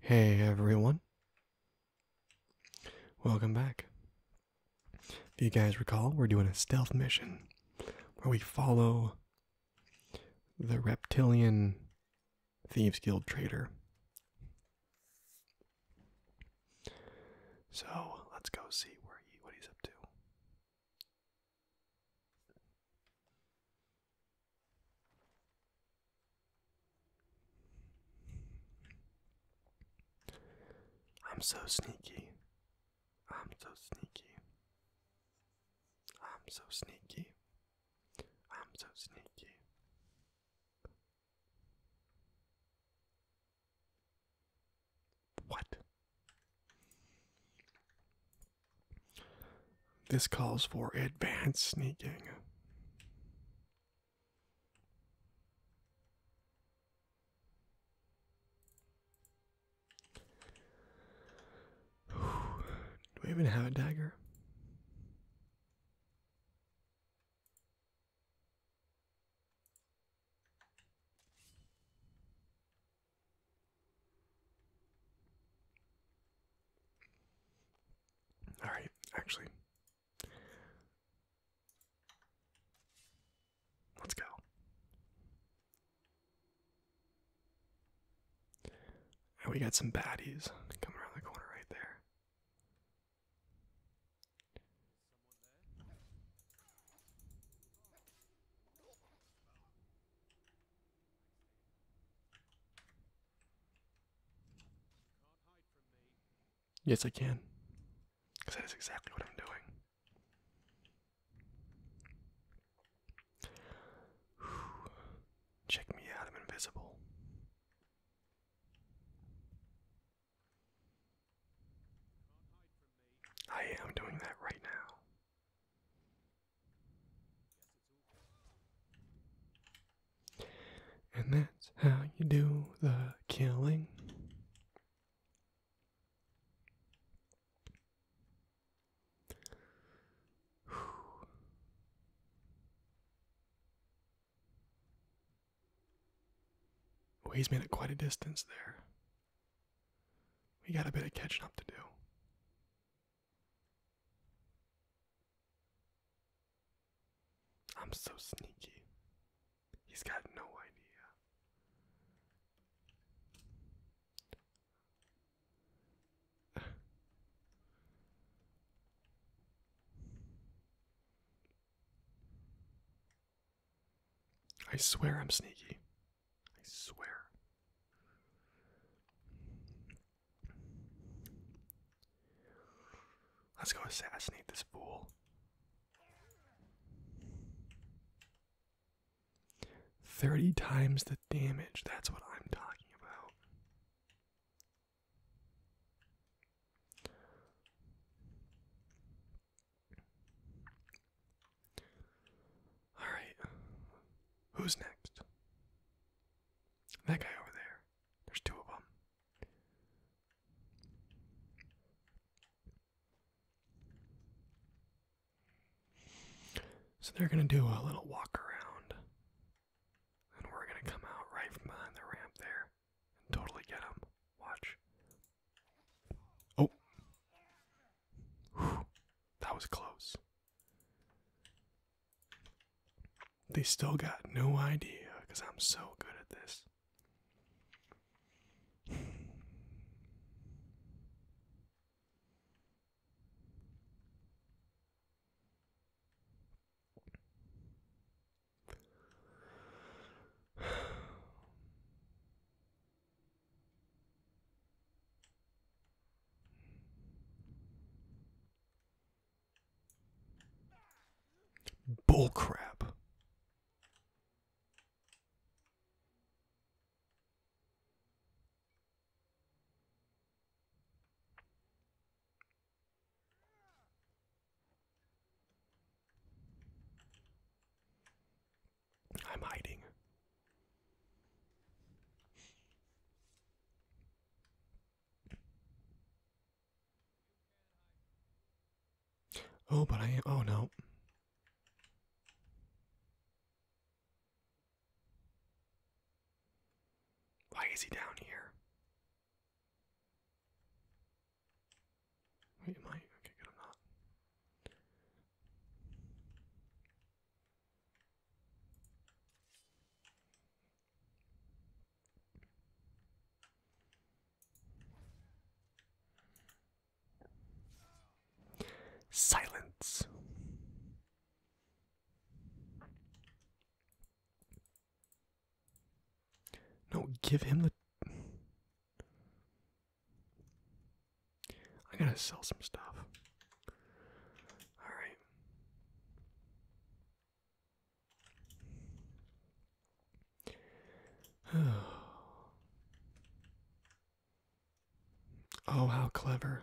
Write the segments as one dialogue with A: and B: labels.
A: Hey everyone. Welcome back. If you guys recall, we're doing a stealth mission where we follow the reptilian thieves guild traitor. So let's go see where he what he's up to. I'm so sneaky. I'm so sneaky. I'm so sneaky. I'm so sneaky. What? This calls for advanced sneaking. Do we even have a dagger? All right, actually. Let's go. And we got some baddies coming around the corner right there. Yes, I can. Because that is exactly what I'm doing. Check me out, I'm invisible. I am doing that right now. And that's how you do the killing. Whew. Oh, he's made it quite a distance there. We got a bit of catching up to do. I'm so sneaky. He's got no idea. I swear I'm sneaky. I swear. Let's go assassinate this fool. Thirty times the damage, that's what I'm talking about. Alright. Who's next? That guy over there. There's two of them. So they're going to do a little walk around. And we're going to come out right from behind the ramp there and totally get them. Watch. Oh. that was close. They still got no idea because I'm so good at this. Bullcrap. I'm hiding. Oh, but I Oh, no. Why is he down here? Wait, am Okay, good, i Silence. No, give him the I gotta sell some stuff. Alright. oh, how clever.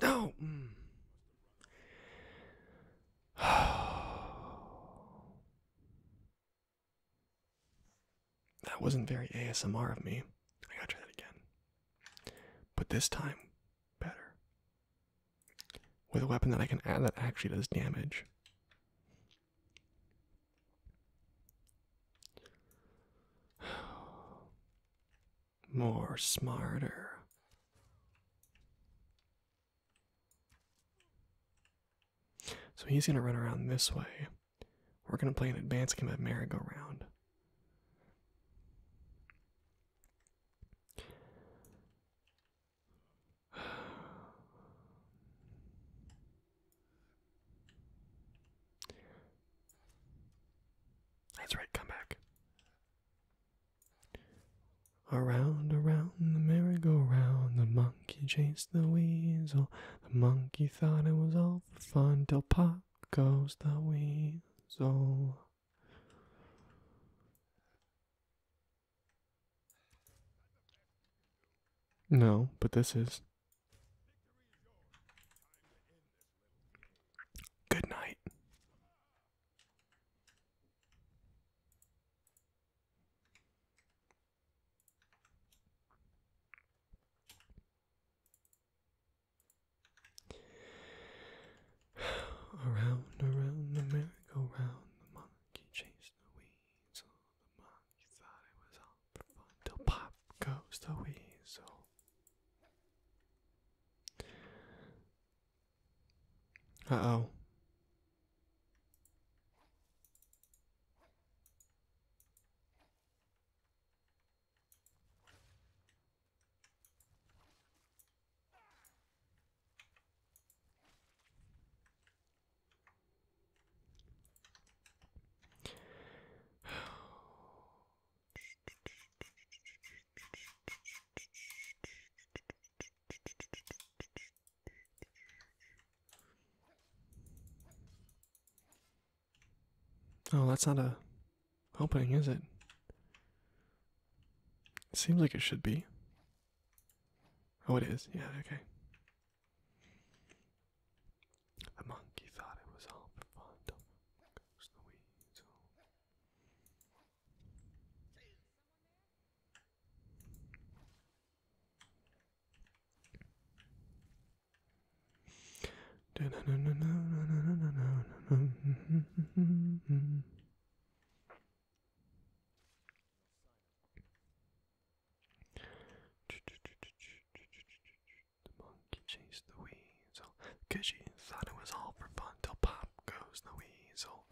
A: No. that wasn't very ASMR of me. I gotta try that again. But this time, better. With a weapon that I can add that actually does damage. More smarter. So he's going to run around this way. We're going to play an advanced game of merry-go-round. That's right, come back. Around, around the merry-go-round, the monkey chased the weasel. The monkey thought it was all for fun till pop goes the weasel. No, but this is. Good night. around, around the round the monkey chased the weeds on the monkey. You thought it was all for fun till pop goes the weasel. Uh oh. Oh, that's not a opening, is it? seems like it should be. Oh, it is. Yeah, okay. The monkey thought it was all for fun. The monkey chased the weasel. Cushy thought it was all for fun pop goes the weasel.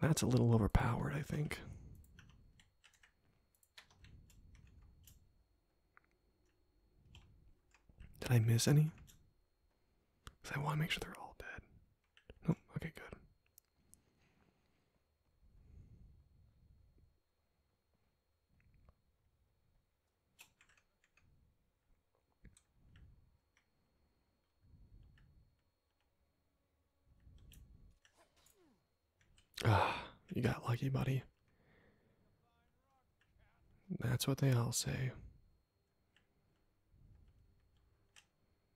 A: That's a little overpowered, I think. Did I miss any? Because I want to make sure they're all dead. Nope, okay, good. Ah, you got lucky, buddy. That's what they all say.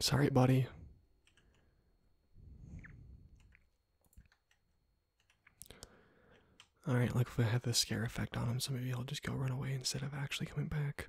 A: Sorry, buddy. Alright, like if I have the scare effect on him, so maybe he'll just go run away instead of actually coming back.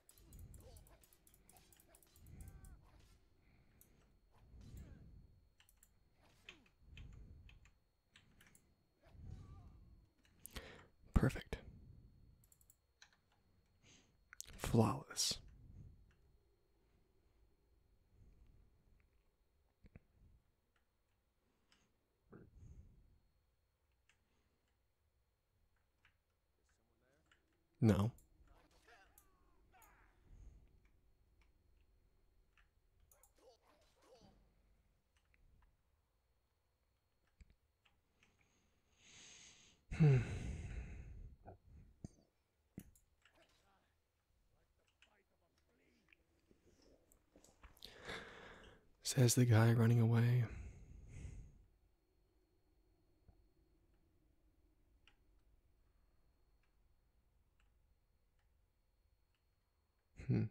A: Perfect. Flawless. No. Says the guy running away. Hmm.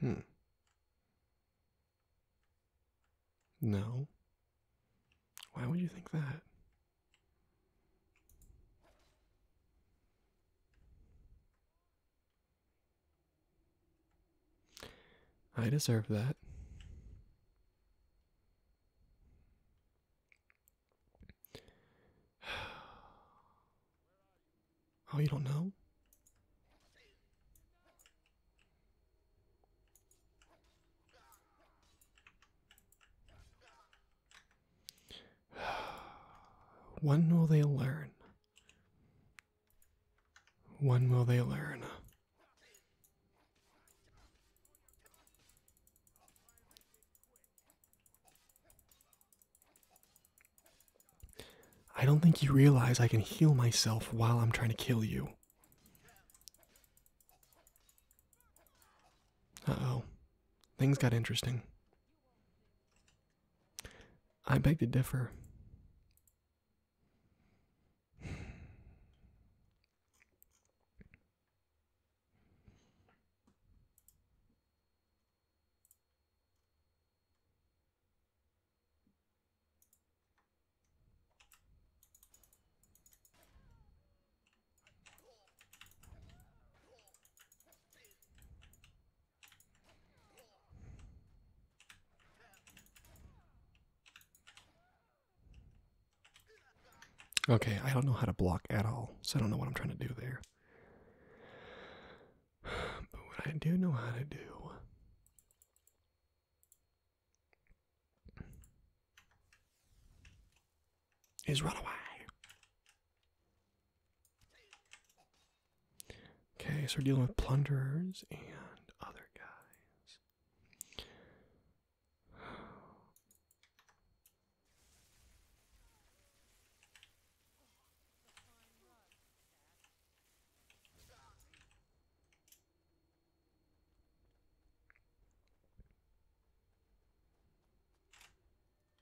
A: Hmm. No. Why would you think that? I deserve that. Oh, you don't know? When will they learn? When will they learn? I don't think you realize I can heal myself while I'm trying to kill you. Uh oh. Things got interesting. I beg to differ. Okay, I don't know how to block at all, so I don't know what I'm trying to do there. But what I do know how to do is run away. Okay, so we're dealing with plunderers and other guys.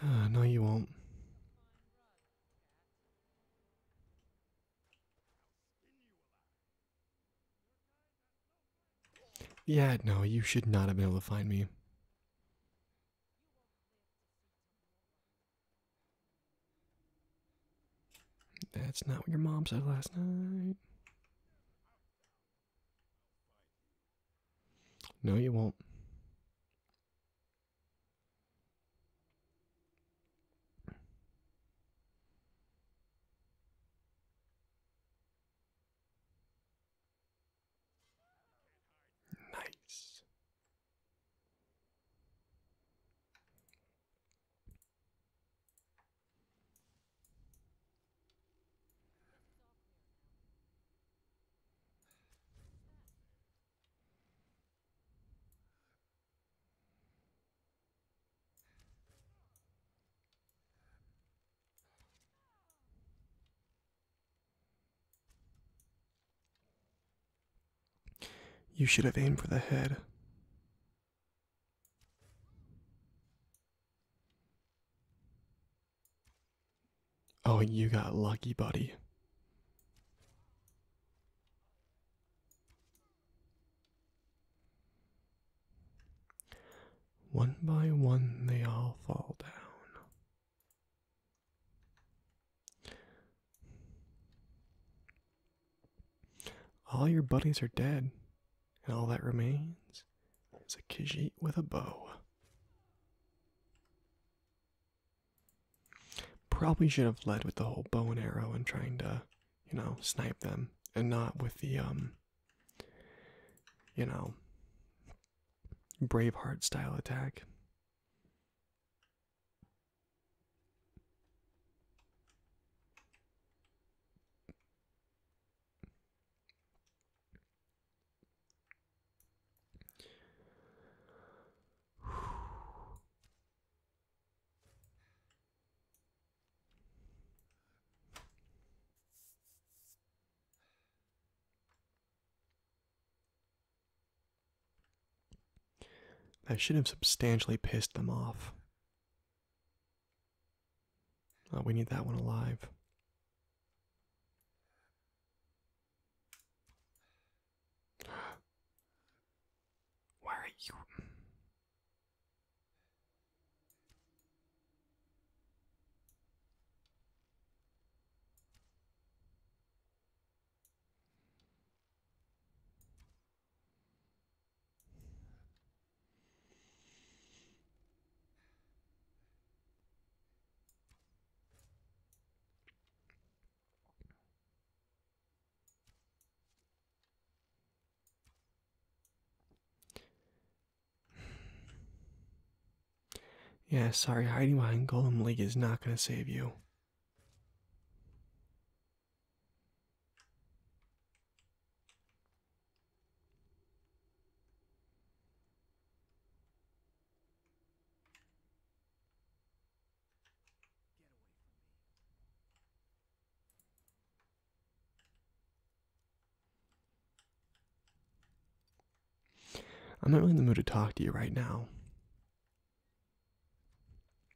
A: no, you won't. Yeah, no, you should not have been able to find me. That's not what your mom said last night. No, you won't. Nice. You should have aimed for the head. Oh, you got lucky, buddy. One by one, they all fall down. All your buddies are dead, and all that remains is a Khajiit with a bow. Probably should have led with the whole bow and arrow and trying to, you know, snipe them, and not with the, um, you know, Braveheart style attack. I should have substantially pissed them off. Oh, we need that one alive. Why are you? Yeah, sorry, hiding behind Golem League is not going to save you. I'm not really in the mood to talk to you right now.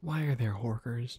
A: Why are there horkers?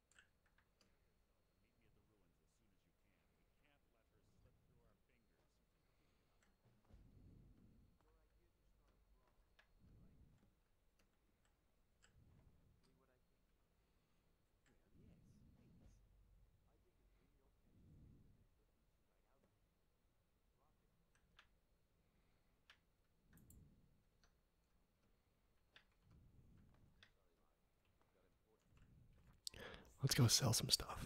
A: Meet me at the ruins as soon as you can. We can't let her slip through our fingers. Your idea to start wrong, right? See what I think? Well, yes, please. I think it's really okay to you right out. Rocket. Let's go sell some stuff.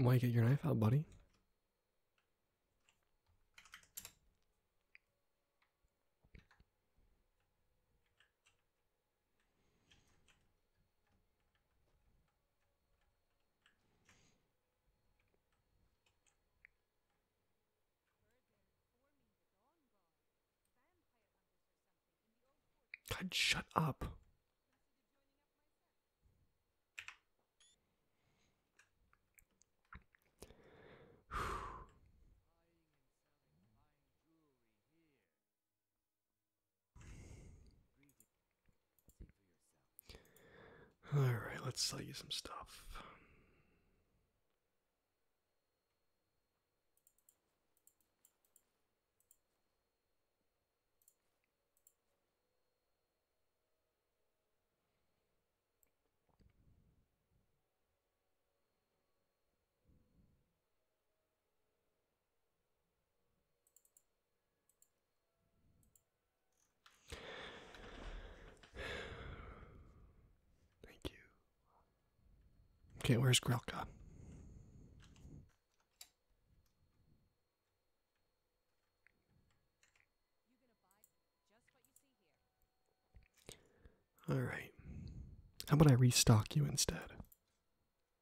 A: Why get your knife out, buddy? God, shut up. All right, let's sell you some stuff. Thank you. Okay, where's Grelka? All right. How about I restock you instead?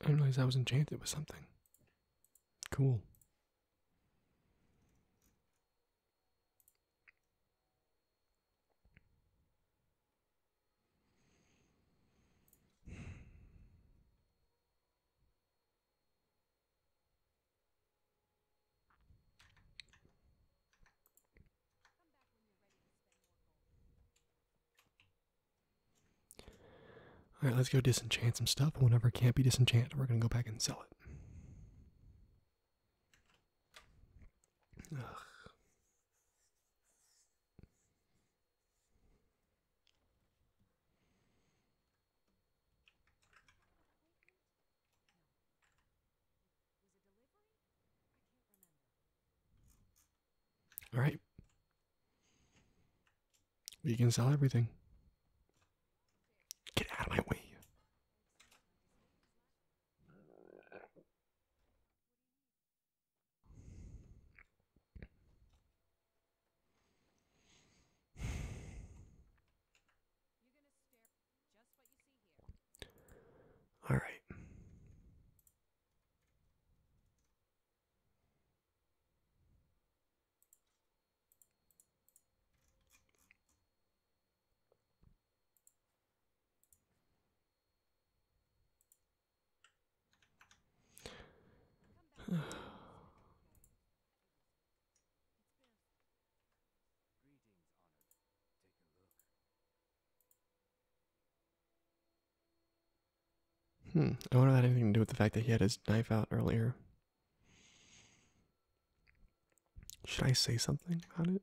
A: I didn't realize I was enchanted with something. Cool. Alright, let's go disenchant some stuff. Whenever it can't be disenchant, we're going to go back and sell it. All right. We can sell everything. Get out of my way. All right. Greetings, honored. Take a look. Hmm, I wonder if that had anything to do with the fact that he had his knife out earlier. Should I say something about it?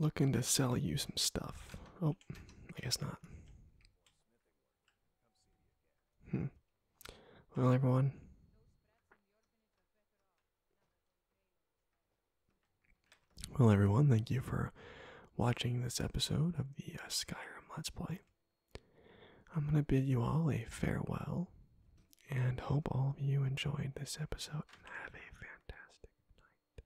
A: Looking to sell you some stuff. Oh, I guess not. Hmm. Well, everyone. Well, everyone, thank you for watching this episode of the uh, Skyrim Let's Play. I'm going to bid you all a farewell and hope all of you enjoyed this episode and have a fantastic night.